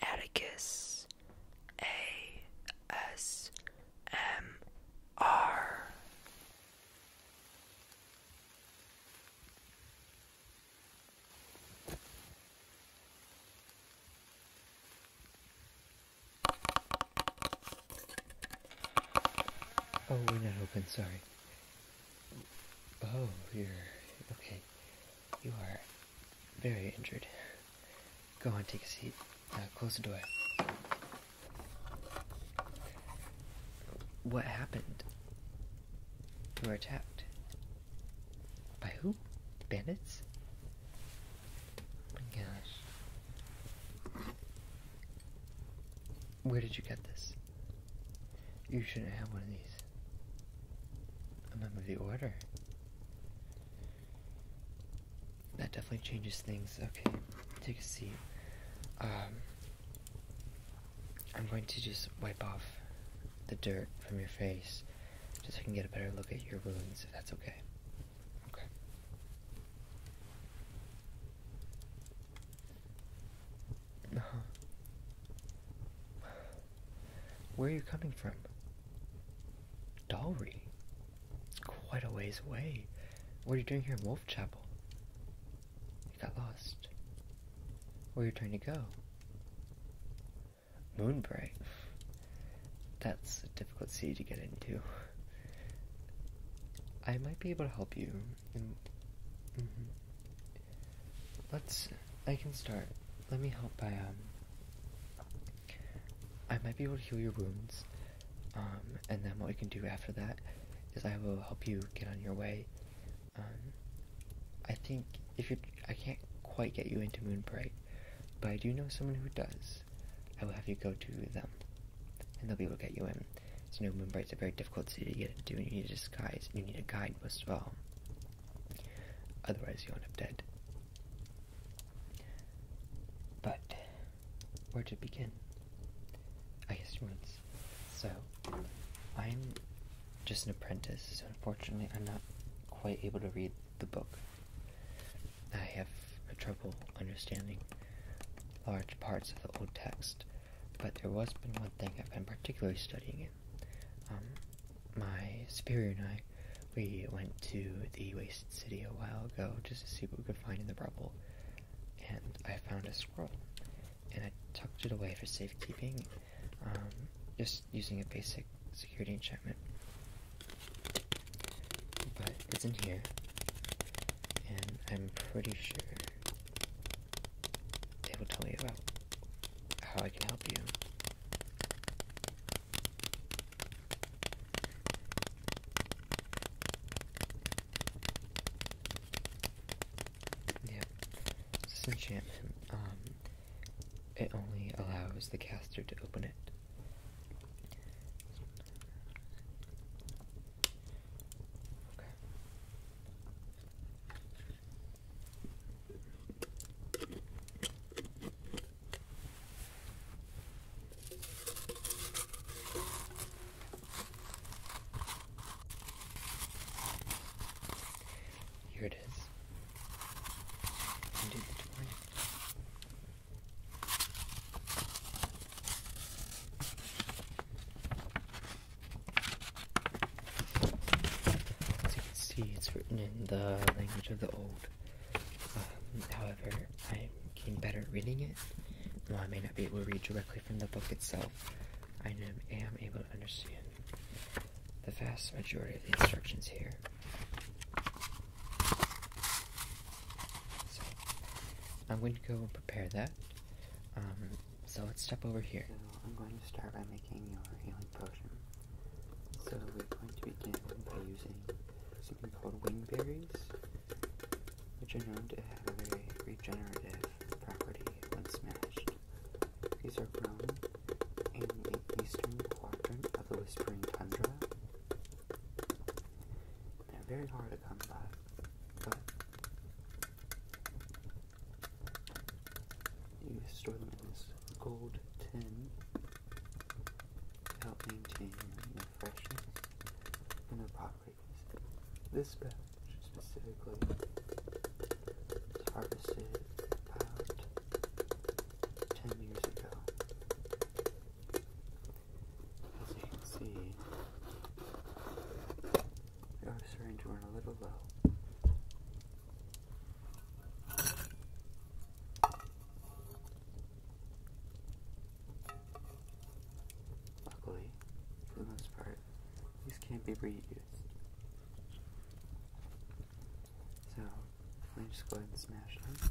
Atticus A S M R Oh, we're not open, sorry. Oh, you're okay. You are very injured. Go on, take a seat. close the door. What happened? You were attacked. By who? Bandits? my gosh. Where did you get this? You shouldn't have one of these. I'm Remember the order. That definitely changes things. Okay, take a seat. Um, I'm going to just wipe off the dirt from your face just so I can get a better look at your wounds, if that's okay. Okay. No. Uh-huh. Where are you coming from? Dalry? It's quite a ways away. What are you doing here in Wolf Chapel? You got lost. Where are you trying to go? Moonbreak. That's a difficult city to get into. I might be able to help you. Mm-hmm let's I can start. Let me help by um, I might be able to heal your wounds. Um, and then what we can do after that is I will help you get on your way. Um, I think if I can't quite get you into Moonbright, but I do know someone who does. I will have you go to them. And they'll be able to get you in. So you know Moonbright's a very difficult city to get into and you need a disguise and you need a guide most of all. Otherwise, you'll end up dead. But where to begin? I guess once. So I'm just an apprentice, so unfortunately, I'm not quite able to read the book. I have trouble understanding large parts of the old text, but there was been one thing I've been particularly studying um, my superior and I, we went to the Wasted City a while ago just to see what we could find in the rubble, and I found a scroll, and I tucked it away for safekeeping, um, just using a basic security enchantment. But it's in here, and I'm pretty sure they will tell me about how I can help you yeah, this enchantment, um, it only allows the caster to open it. Here it is. Indeed, as you can see, it's written in the language of the old. Um, however, I'm getting better at reading it. While I may not be able to read directly from the book itself, I am able to understand the vast majority of the instructions here. So, I'm going to go and prepare that. Um, so let's step over here. So I'm going to start by making your healing potion. So we're going to begin by using something called wing berries, which are known to have a very regenerative property once smashed. These are grown in the eastern quadrant of the Whispering Tundra. They're very hard to come by, but you store them in this gold tin to help maintain their freshness and their properties. This batch specifically was harvested about 10 years ago. As you can see, they are starting to run a little low. Luckily, for the most part, these can't be reused. So, let me just go ahead and smash them.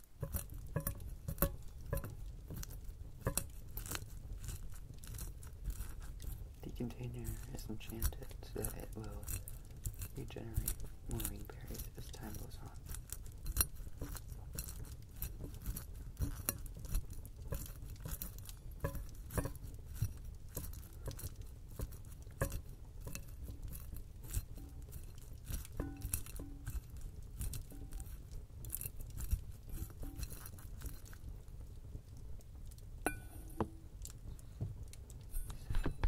The container is enchanted so that it will regenerate moving berries as time goes on. So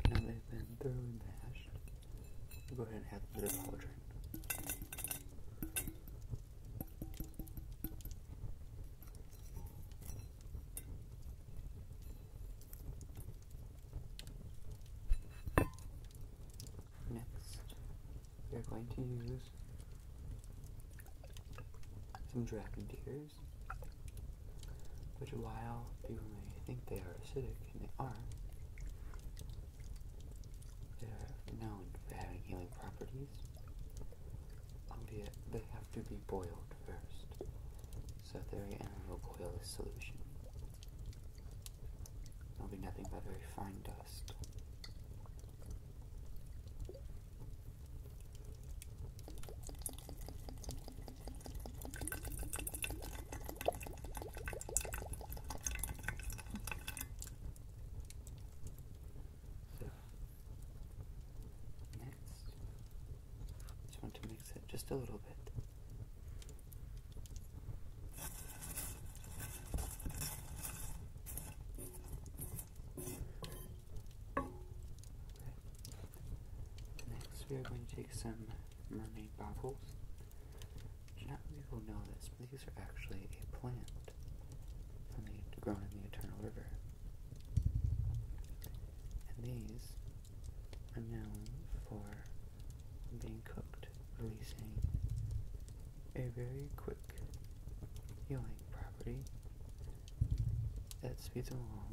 now they've been thoroughly mashed. go ahead and add them to the cauldron. Next, we are going to use some dragon tears, which while people may think they are acidic, and they are, they are known for having healing properties, albeit they have to be boiled first, so they're in a boil this solution. There'll be nothing but very fine dust. So next, just want to mix it just a little bit. Next, we are going to take some mermaid bubbles. Not people know this, but these are actually a plant from the grown in the Eternal River. And these are known for being cooked releasing a very quick healing property that speeds along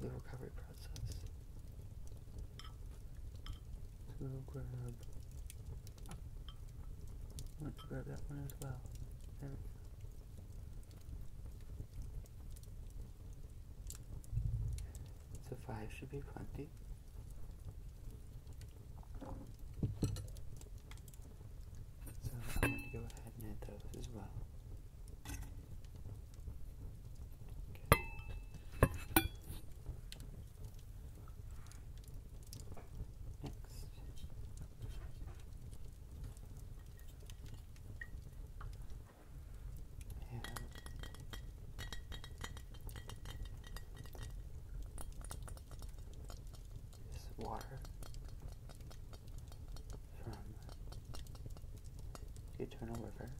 the recovery process. So we'll grab, let's grab that one as well. There we go. So five should be plenty. So I'm going to go ahead and add those as well. Next. This water from the Eternal River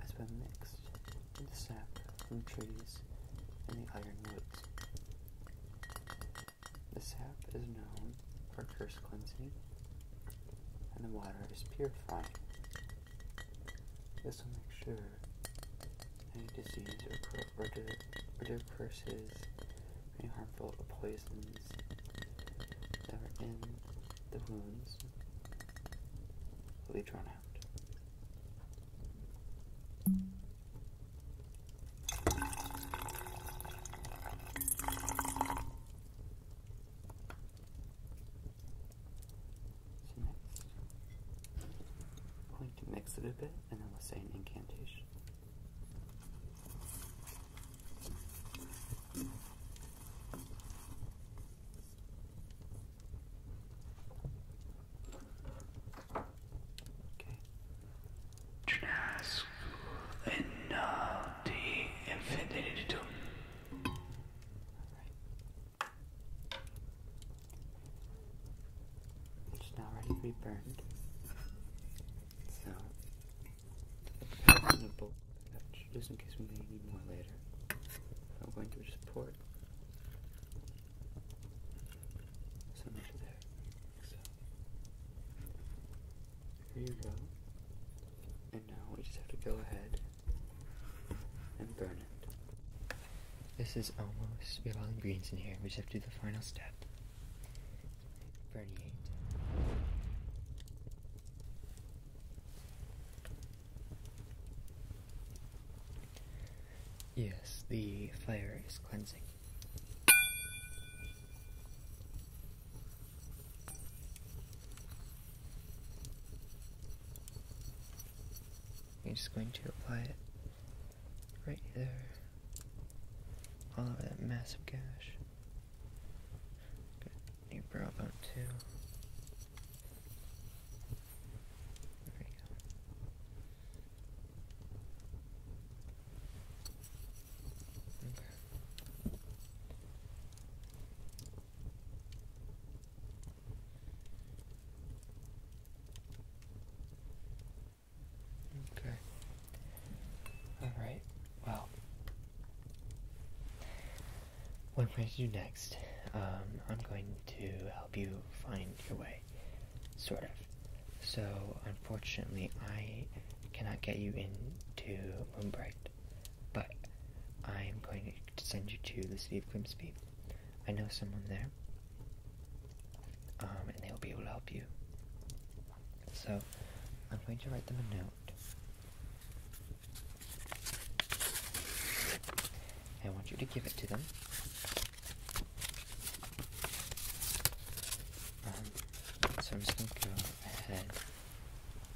has been mixed into sap from trees in the Iron ironwoods. The sap is known for curse cleansing, and the water is purifying. This will make sure any disease or, or, or curses, any harmful poisons that are in the wounds will be drawn out. I'm going to mix it a bit and then we'll say an incantation. Okay. the infinity. It's now ready to be burned. So, I'm bowl, just in case we may need more later. I'm going to just pour it. So there. So, here you go. And now we just have to go ahead and burn it. This is almost we have all the ingredients in here. We just have to do the final step. Burn it. Yes, the fire is cleansing. You're just going to apply it right there, all over that massive gash. Got your bone too. There we go. Okay. Okay. Alright, well. What I'm going to do next, um, I'm going to help you find your way. Sort of. So, unfortunately, I cannot get you into Moonbright but I am going to send you to the city of Grimsby. I know someone there, um, and they will be able to help you. So I'm going to write them a note. I want you to give it to them. Um, so I'm just going to go ahead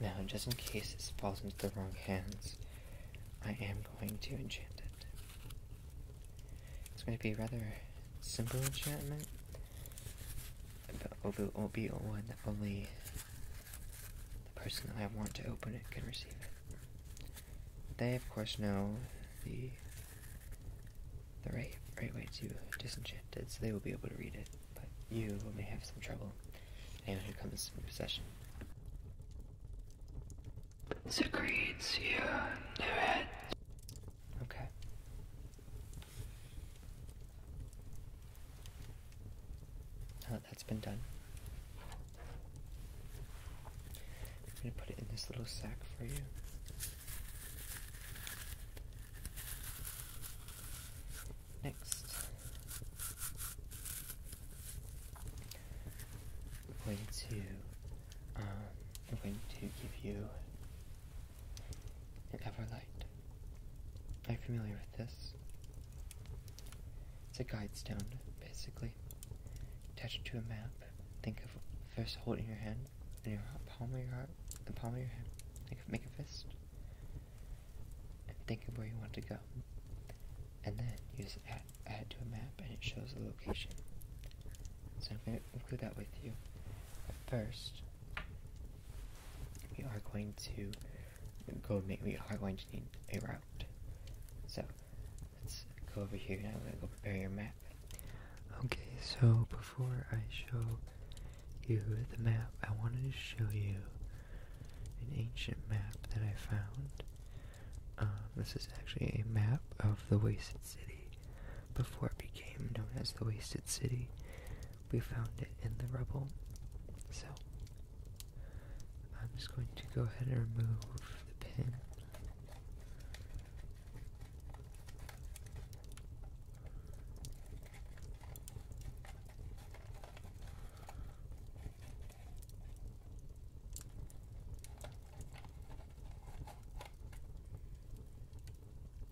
Now, just in case this falls into the wrong hands, I am going to enchant it. It's going to be a rather simple enchantment, but it will be one that only the person that I want to open it can receive it. They, of course, know the the right right way to disenchant it, so they will be able to read it. But you may have some trouble. Anyone who comes in possession. Secretes your head. Okay. Oh, that's been done, I'm going to put it in this little sack for you. Next, I'm going to, um, I'm going to give you an Everlight. Are you familiar with this? It's a guide stone, basically quickly. Attach it to a map. Think of first holding your hand in your palm of your heart, the palm of your hand. Think of, make a fist. And think of where you want to go. And then you just add, to a map and it shows the location. So I'm going to include that with you. first, we are going to go make, we are going to need a route. So, let's go over here now. I'm going to go prepare your map. Okay, so before I show you the map, I wanted to show you an ancient map that I found. Um, this is actually a map of the Wasted City. Before it became known as the Wasted City, we found it in the rubble. So, I'm just going to go ahead and remove the pin.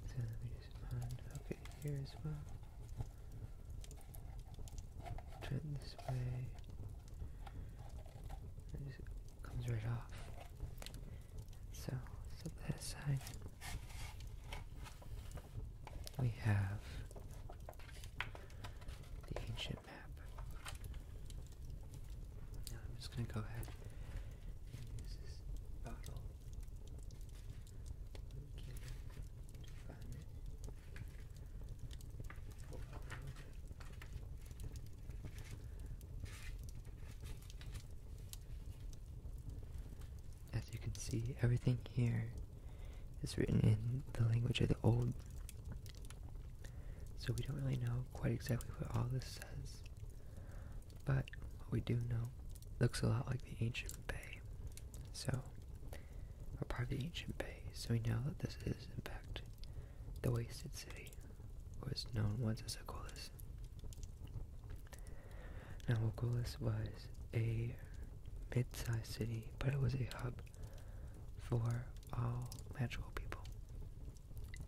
So let just find, okay, here as well. Turn this way. It just comes right off. So, so that side we have the ancient map. Now I'm just gonna go ahead and use this bottle. To find it. As you can see, everything here is written in the language of the old, so we don't really know quite exactly what all this says. But what we do know looks a lot like the ancient bay, so or the ancient bay. So we know that this is, in fact, the wasted city was known once as Oculus. Now Oculus was a mid-sized city, but it was a hub for all magical people.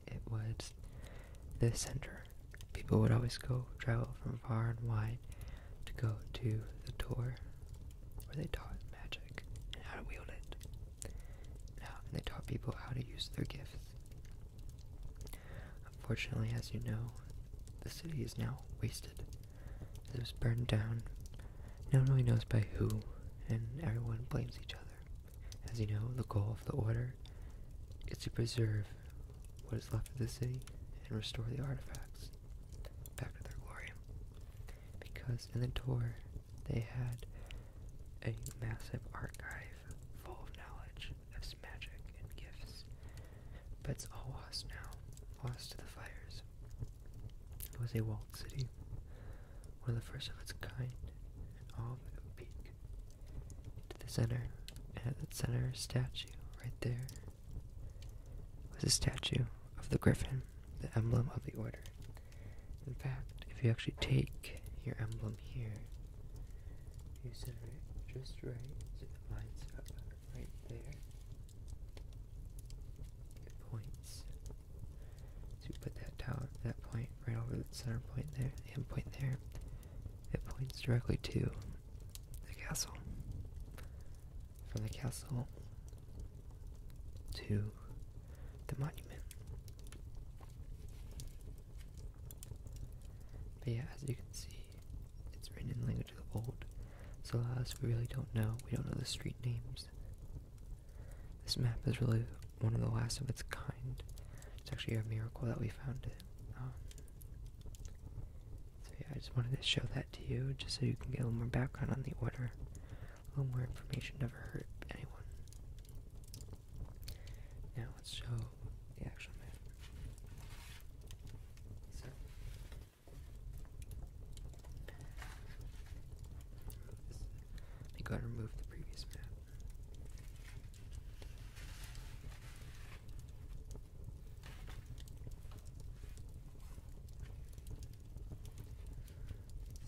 It was the center. People would always go travel from far and wide to go to the tour where they taught magic and how to wield it and they taught people how to use their gifts. Unfortunately, as you know, the city is now wasted. It was burned down. No one knows by who, and everyone blames each other. As you know, the goal of the order is to preserve what is left of the city and restore the artifacts back to their glory. Because in the tour, they had a massive archive full of knowledge of magic and gifts, but it's all lost now, lost to the fires. It was a walled city, one of the first of its kind, all of a peak to the center, and at the center statue right there was a statue of the griffin, the emblem of the order. In fact, if you actually take your emblem here, you center it just right so it lines up right there. It points. So you put that tower, that point, right over the center point there, the end point there. It points directly to the castle. From the castle to the monument. But yeah, as you can see, it's written in language of the old, so a we really don't know. We don't know the street names. This map is really one of the last of its kind. It's actually a miracle that we found it. Um, so yeah, I just wanted to show that to you, just so you can get a little more background on the order. A um, little more information never hurt anyone. Now let's show the actual map. So, I think I removed the previous map.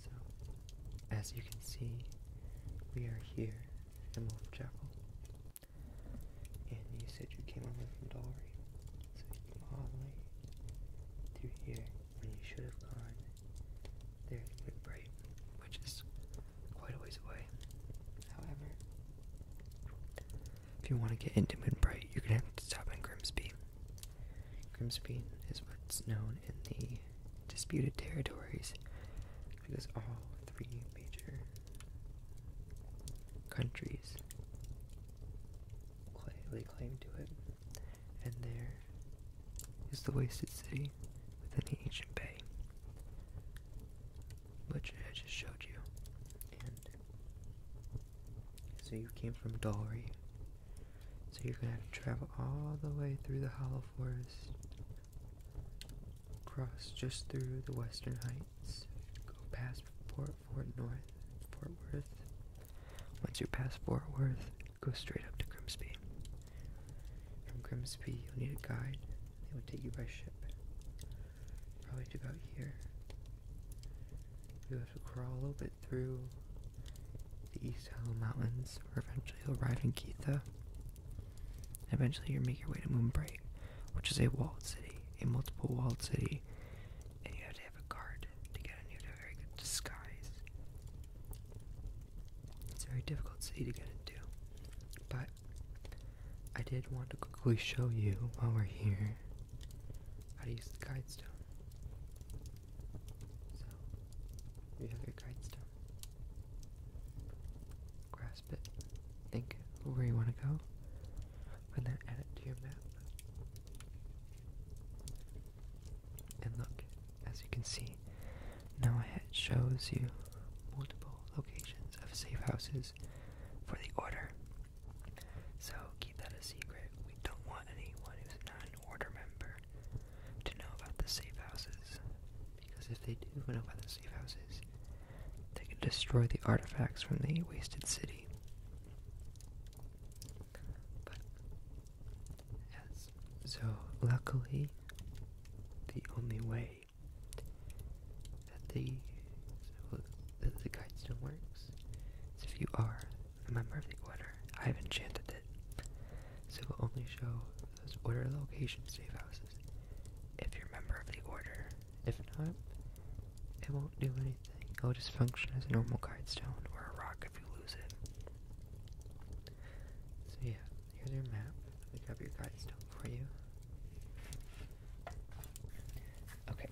So, as you can see, we are here at Wolf Chapel. And you said you came over from Dalry, so you came all the way through here when you should have gone there to Midbright, which is quite a ways away. However, if you want to get into Midbright, you're going to have to stop in Grimsby. Grimsby is what's known in the disputed territories because all three major countries claim, to it. And there is the wasted city within the ancient bay, which I just showed you. And so you came from Dalry so you're gonna have to travel all the way through the hollow forest, cross just through the western heights, go past Fort, Fort North, Fort Worth. Once you pass Fort Worth, go straight up to Grimsby. From Grimsby, you'll need a guide. They will take you by ship. Probably to about here. You'll have to crawl a little bit through the East Hello Mountains, where eventually you'll ride in Keitha. Eventually, you make your way to Moonbright, which is a walled city, a multiple walled city, and you have to have a guard to get in. You have to very good disguise. It's a very difficult city to get into, but I did want to quickly show you while we're here how to use the guide stone. So, you have your guide stone. Grasp it. Think where you want to go. And then add it to your map. And look, as you can see, now it shows you multiple locations of safe houses for the order. So keep that a secret. We don't want anyone who's not an order member to know about the safe houses. Because if they do know about the safe houses, they can destroy the artifacts from the wasted city. yes. So, luckily, the only way that the, so that the guidestone works is if you are member of the Order. I've enchanted it, so it will only show those Order location safe houses if you're a member of the Order. If not, it won't do anything. It'll just function as a normal guide stone or a rock if you lose it. So yeah, here's your map. Let me grab your stone for you. Okay,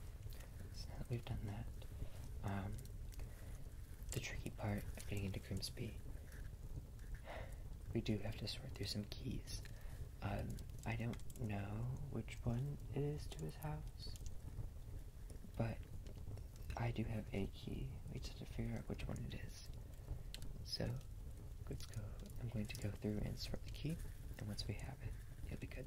we've done that, um, the tricky part of getting into Grimsby. We do have to sort through some keys. Um, I don't know which one it is to his house, but I do have a key. We just have to figure out which one it is. So, let's go. I'm going to go through and sort the key, and once we have it, it'll be good.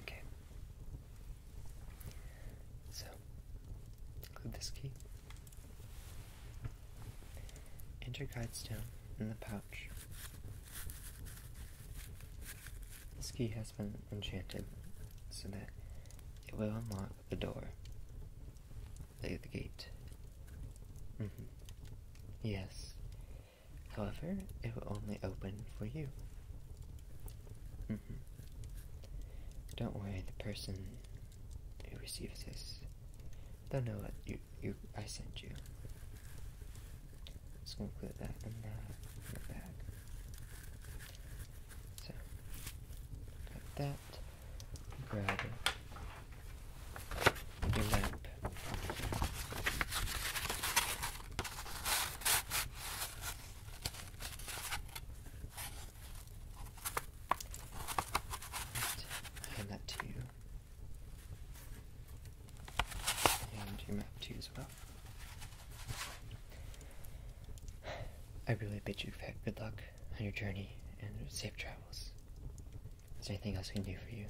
Okay. So, include this key. Enter guidestone in the pouch this key has been enchanted so that it will unlock the door. The, the gate. Mm -hmm. Yes. However, it will only open for you. Mm -hmm. Don't worry, the person who receives this, they'll know what you I sent you. Just gonna put that in the, bag. So grab that. Grab your map. hand that to you and your map too as well. I really bid you good luck on your journey and safe travels. Is there anything else we can do for you?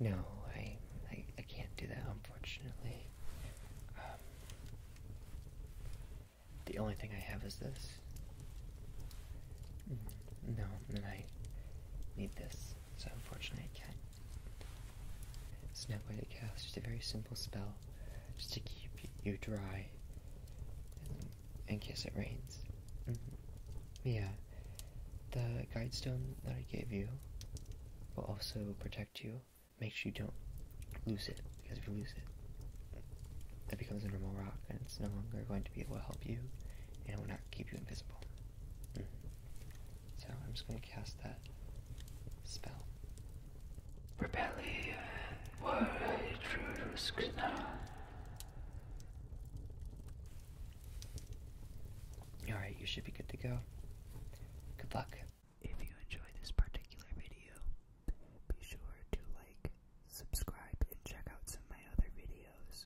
No, I, I, can't do that, unfortunately. Um, the only thing I have is this. Mm, no, and I need this so unfortunately I can't. It's now I'm going just a very simple spell, just to keep you dry, in case it rains. Mm-hmm. Yeah, the guide stone that I gave you will also protect you. Make sure you don't lose it, because if you lose it, it becomes a normal rock, and it's no longer going to be able to help you, and it will not keep you invisible. So I'm just going to cast that spell. Rebellion. Alright, you should be good to go. Good luck. If you enjoyed this particular video, be sure to like, subscribe, and check out some of my other videos.